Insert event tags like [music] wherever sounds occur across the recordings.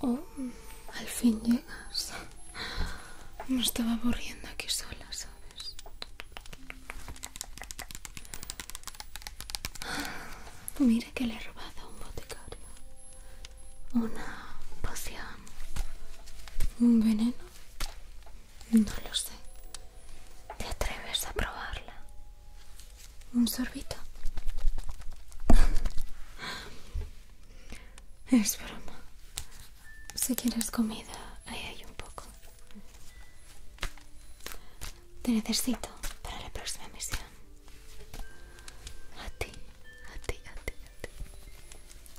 Oh, al fin llegas. Me estaba aburriendo aquí sola, ¿sabes? Mira que le he robado a un boticario. Una poción. ¿Un veneno? No lo sé. ¿Te atreves a probarla? Un sorbito. Es broma. Si quieres comida, ahí hay un poco. Te necesito para la próxima misión. A ti, a ti, a ti, a ti.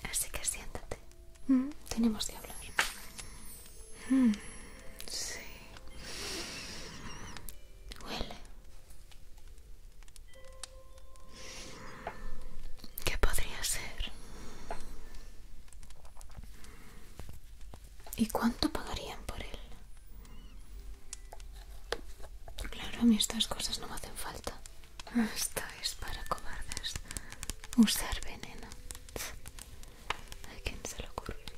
Así que siéntate. Mm, tenemos que hablar. Mm, sí. Huele. ¿Qué podría ser? ¿Y cuánto pagarían por él? Claro, a mí estas cosas no me hacen falta. Esto es para cobardes. Usar veneno. ¿A quién se le ocurriría?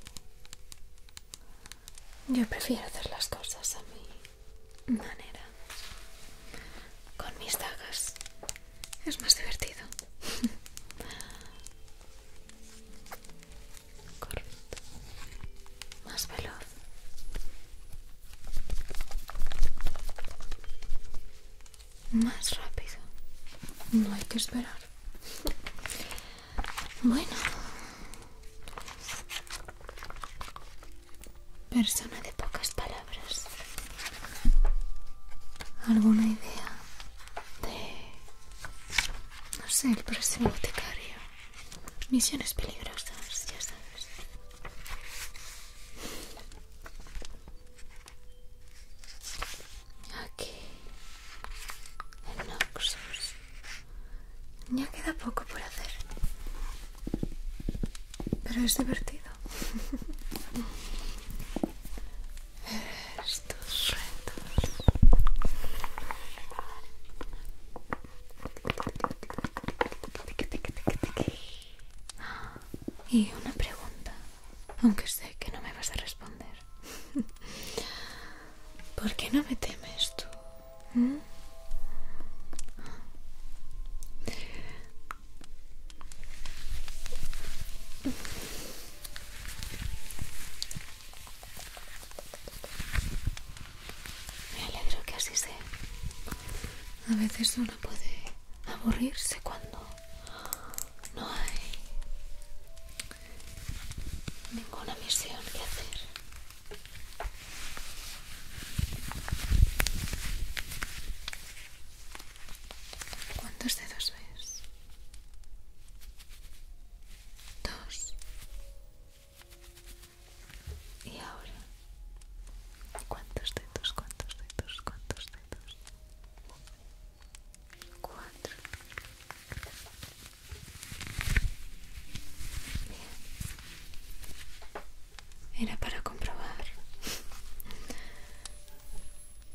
Yo prefiero hacer las cosas a mi manera. Con mis dagas. Es más divertido. [laughs] Más veloz. Más rápido. No hay que esperar. [laughs] Bueno. Persona de pocas palabras. ¿Alguna idea de... no sé, el próximo boticario? Misiones peligrosas, ya sabes. Aquí, El Noxus. Ya queda poco por hacer. Pero es divertido. [laughs] Estos retos. Y una pregunta, aunque sé que no me vas a responder. [laughs] ¿Por qué no me temes tú? ¿Mm? Me alegro que así sea. A veces uno puede aburrirse cuando no hay ninguna misión que hacer. ¿Cuántos dedos ves? Dos. Y ahora, ¿cuántos dedos? ¿Cuántos dedos? ¿Cuántos dedos? Cuatro. Era para comprobar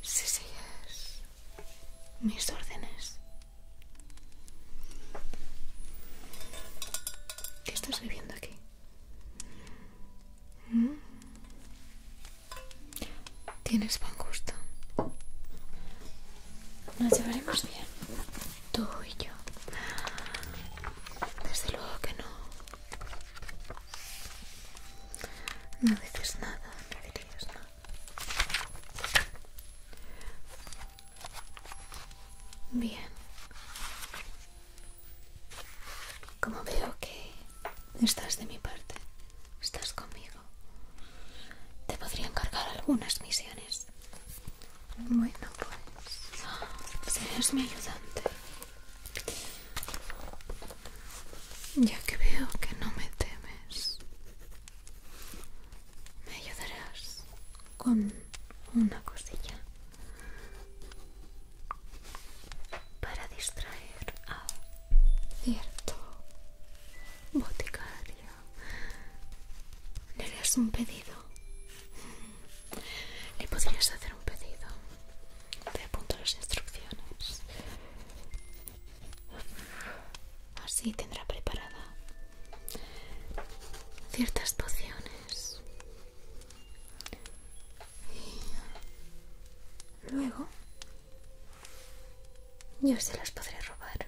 si sigues mis órdenes. ¿Qué estás viviendo aquí? ¿Mm? Tienes pan justo? Nos llevaremos bien, tú y yo. Desde luego que no. No dices nada, no dirías nada. Bien. Como veo que estás de mi parte, estás conmigo. Te podría encargar algunas misiones. Bueno, pues serás mi ayudante. Ya que veo que no me temes, me ayudarás con una cosilla para distraer a cierto boticario ¿Le harías un pedido? ¿Le podrías hacer un pedido? Te apunto las instrucciones. Así tendrá preparada ciertas pociones. Y luego yo se las podré robar.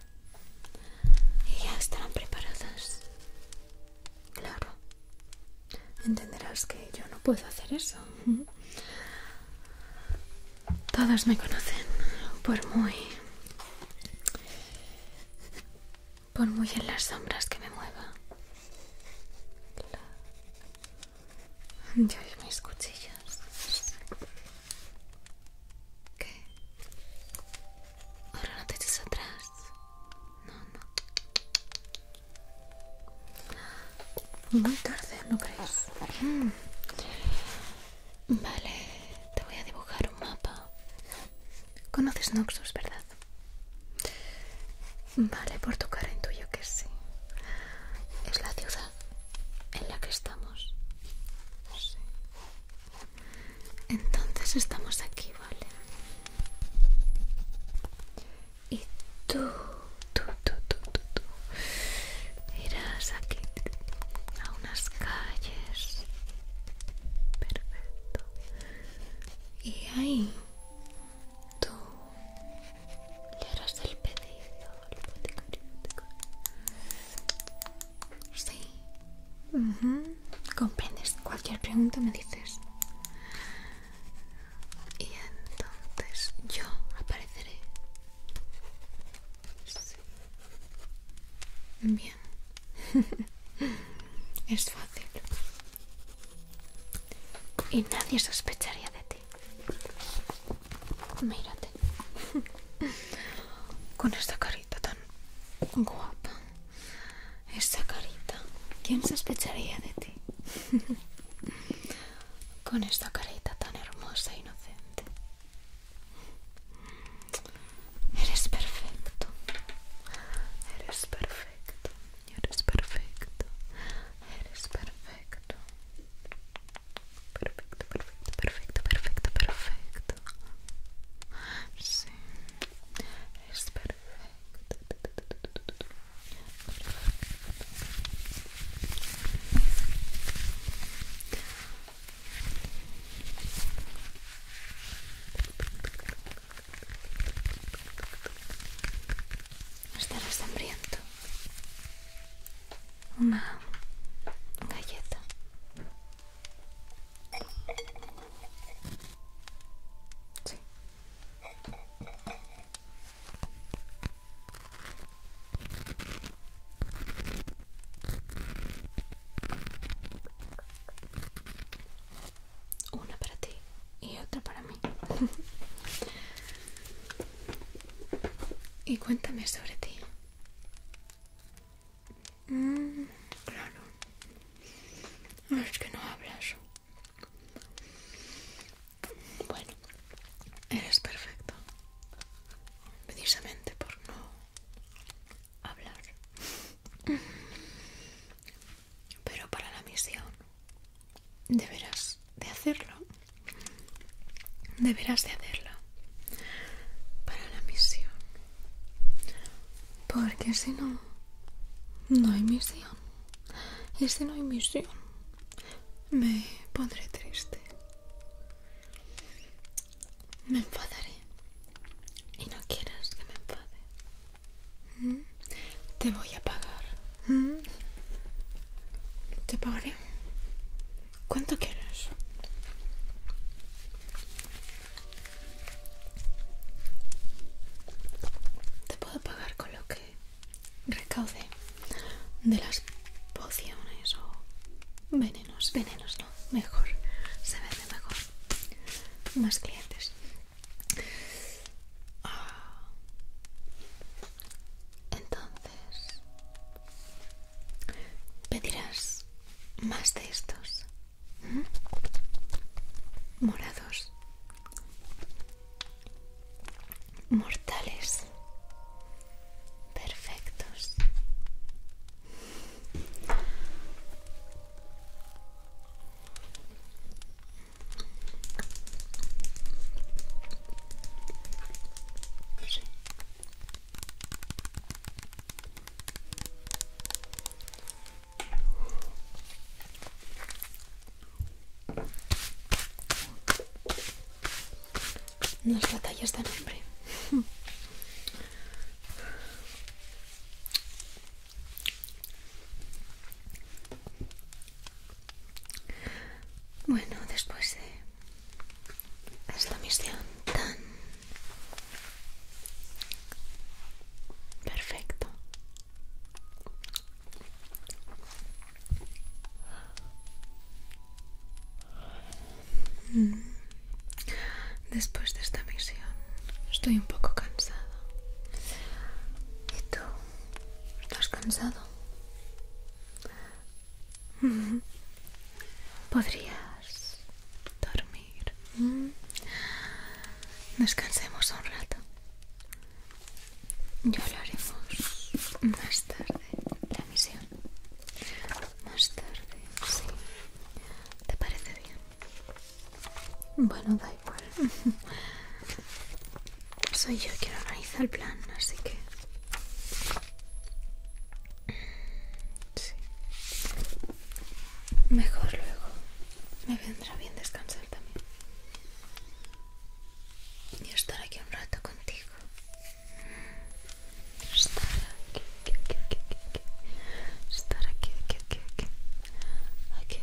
Y ya estarán preparadas. Claro. Entenderás que yo no puedo hacer eso. Todos me conocen por muy... Por muy en las sombras que me mueva. Yo y mis cuchillas. ¿Qué? Ahora no te eches atrás. No, no. Muy tarde, ¿no crees? Mm. Vale, te voy a dibujar un mapa. Conoces Noxus, ¿verdad? Vale, por tu cara intuyo que sí. Es la ciudad en la que estamos. sé entonces estamos aquí, ¿vale? Y tú, tú, tú, tú, tú, tú irás aquí a unas calles. Perfecto. Y ahí tú le harás el pedido al el Sí. Comprendes. Cualquier pregunta me dices. Y entonces yo apareceré. Bien. [laughs] es fácil. Y nadie sospecharía de ti. Mírate. Con esta carita tan guapa. Esta carita. ¿Quién sospecharía de ti? Con esta carita tan hermosa e inocente. Eres perfecto. Eres perfecto. Eres perfecto. Eres perfecto. Perfecto, perfecto, perfecto, perfecto, perfecto. Sí, es perfecto. perfecto. hambriento una galleta. Una para ti y otra para mí. [laughs] y cuéntame sobre ti. Mm, claro. Es que no hablas. Bueno, eres perfecto. Precisamente por no hablar. Pero para la misión deberás de hacerlo. Deberás de hacerlo para la misión. Porque si no, no hay misión. Y si no hay misión, me pondré triste. Me enfadaré. Y no quieras que me enfade. ¿Mm? Te voy a pagar. ¿Mm? Te pagaré ¿Cuánto quieres? Te puedo pagar con lo que recaude de las pociones o venenos, venenos no, mejor, se vende mejor, más clientes. Ah, entonces, pedirás más de estos morados mortales perfectos las batallas de hambre. [laughs] Bueno, después de esta misión tan perfecto mm. después de esta misión estoy un poco cansado y tú estás cansado [laughs] Podrías dormir. Mm. Descansemos un rato. lo haremos más tarde la misión. Más tarde, sí. ¿Te parece bien? Bueno, da igual. [laughs] Soy yo quien organiza el plan, así que Sí. Mejor luego. Me vendrá bien descansar también. Y estar aquí un rato contigo. Estar aquí, Estar aquí, aquí, aquí, aquí. Aquí.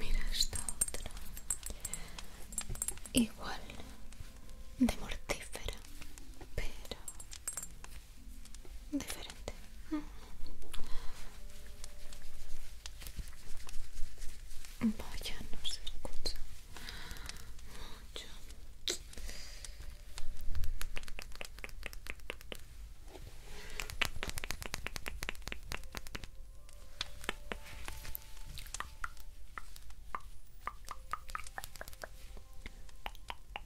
Mira esta otra. Igual de mortífera, pero diferente. Vaya, no se escucha mucho.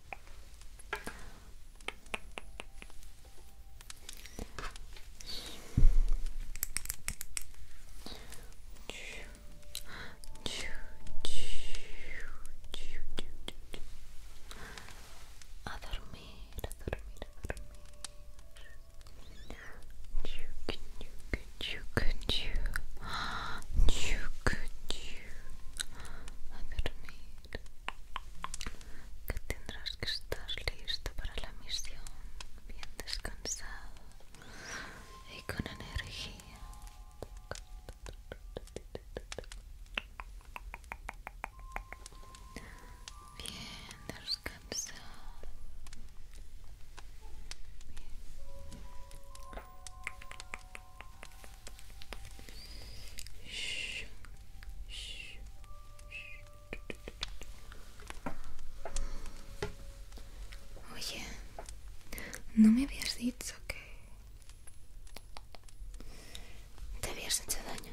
A dormir, a dormir, a dormir. You could, you could, you could, you could, [gasps] you a dormir que tendrás que estar listo para la misión bien descansado y con energía bien descansado bien. Oye, ¿no me habías dicho que te habías hecho daño?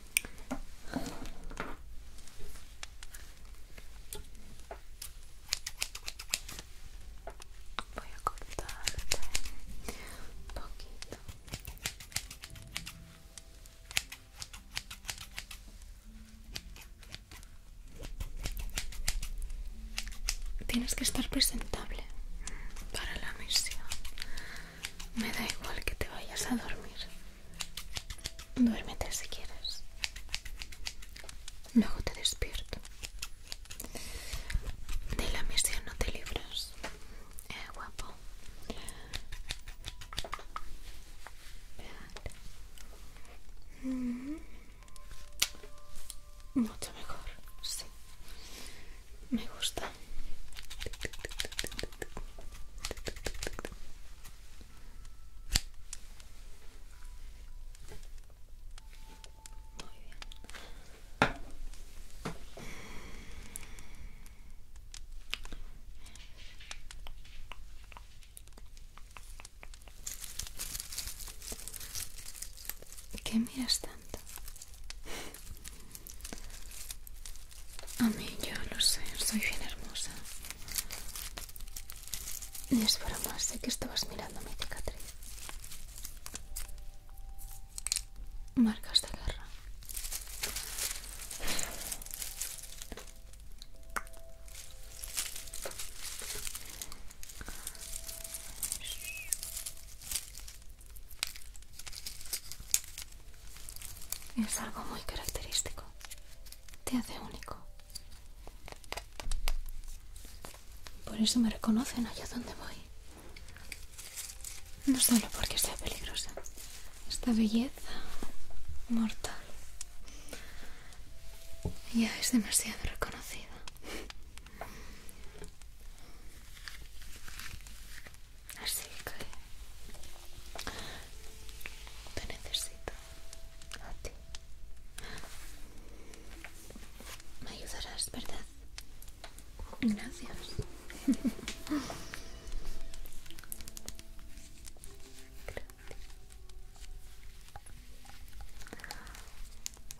Voy a cortarte un poquito. Tienes que estar presentable para la misión. Me da igual que te vayas a dormir. Duérmete si quieres. Luego te despierto. De la misión no te libras. Eh, guapo. Mm. Mucho mejor, sí. Me gusta muy bien. ¿Qué miras tanto? A mí, yo lo sé, soy bien hermosa. Y es más. sé que estabas mirando mi cicatriz. Marcas de guerra. Es algo muy característico. Te hace único. Por eso me reconocen allá donde voy. No solo porque sea peligrosa. Esta belleza mortal ya es demasiado reconocida. Así que te necesito a ti. Me ayudarás, ¿verdad? Gracias.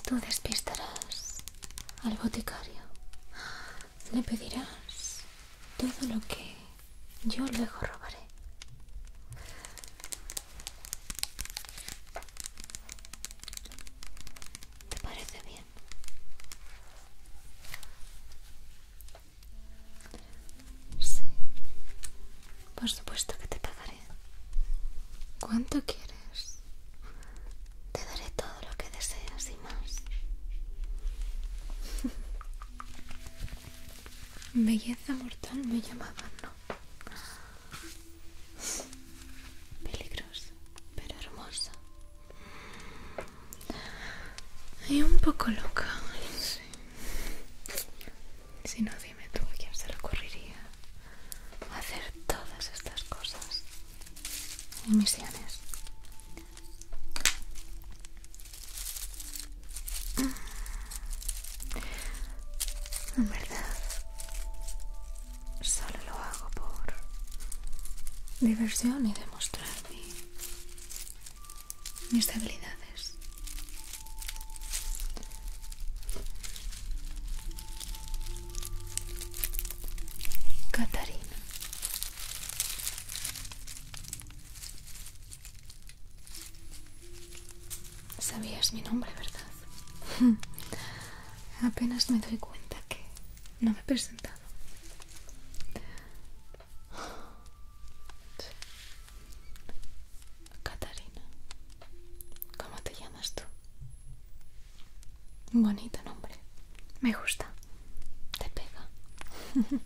Tú despistarás al boticario. Le pedirás todo lo que yo luego robaré. ¿Te parece bien? Sí. Por supuesto que te pagaré. ¿Cuánto quieres? Te daré todo lo que deseas y más. [laughs] Belleza mortal me llamaban, ¿no? Peligrosa, pero hermosa. Y un poco loca, Si no, dime tú a quién se le ocurriría hacer todas estas cosas y misiones. En verdad, solo lo hago por diversión y demostrar mis habilidades. Catarina. Sabías mi nombre, ¿verdad? [laughs] Apenas me doy cuenta que no me he presentado. Catarina, ¿cómo te llamas tú? Bonito nombre, me gusta, te pega. [laughs]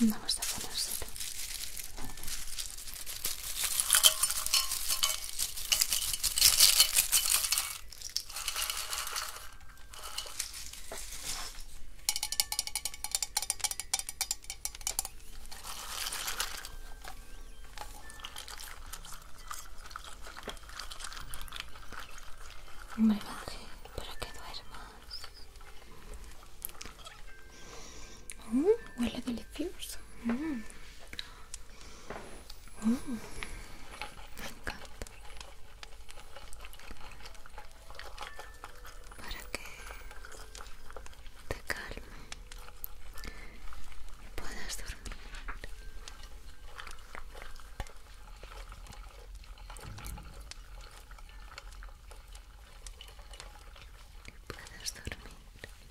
Vamos a ponérselo. Un brebaje para que duermas. Mm, huele delicioso. Mmm. Mm, me encanta para que te calme y puedas dormir. Y puedas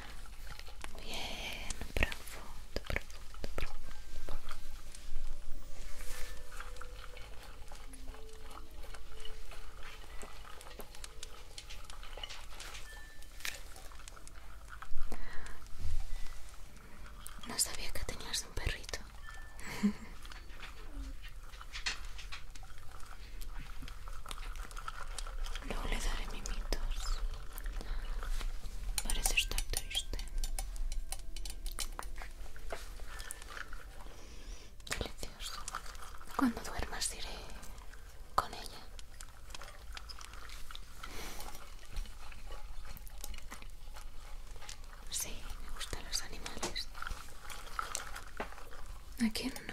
dormir. Bien, bravo. No sabía que tenías un perrito. No [laughs] le daré mimitos. Parece estar triste. Delicioso. Cuando duermas iré con ella. Sí, me gustan los animales. ¿A quién no?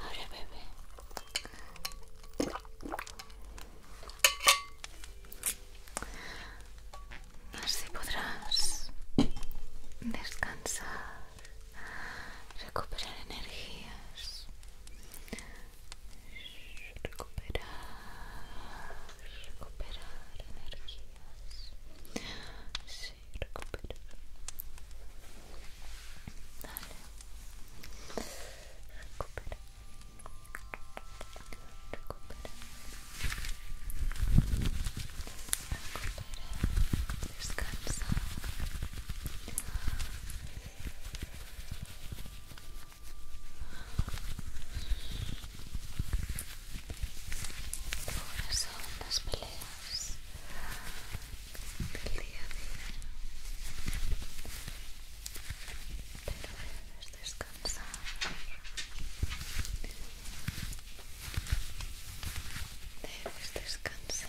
Ahora bebé. Así podrás descansar, recuperar energías recuperar, recuperar energías, sí, recuperar, dale, recupera, recupera, recupera, descansa, Ahora son las peleas del día a día. Pero debes descansar. Debes descansar.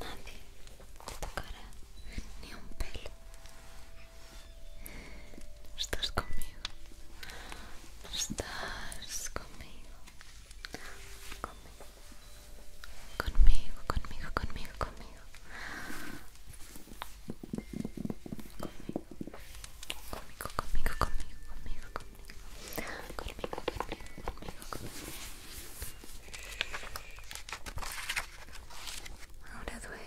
Nadie tu cara, ni un pelo. Estás conmigo. Estás conmigo. Conmigo. Conmigo, conmigo, conmigo, conmigo. Conmigo, conmigo, conmigo, conmigo, conmigo. conmigo. Ahora duerme. Duerme.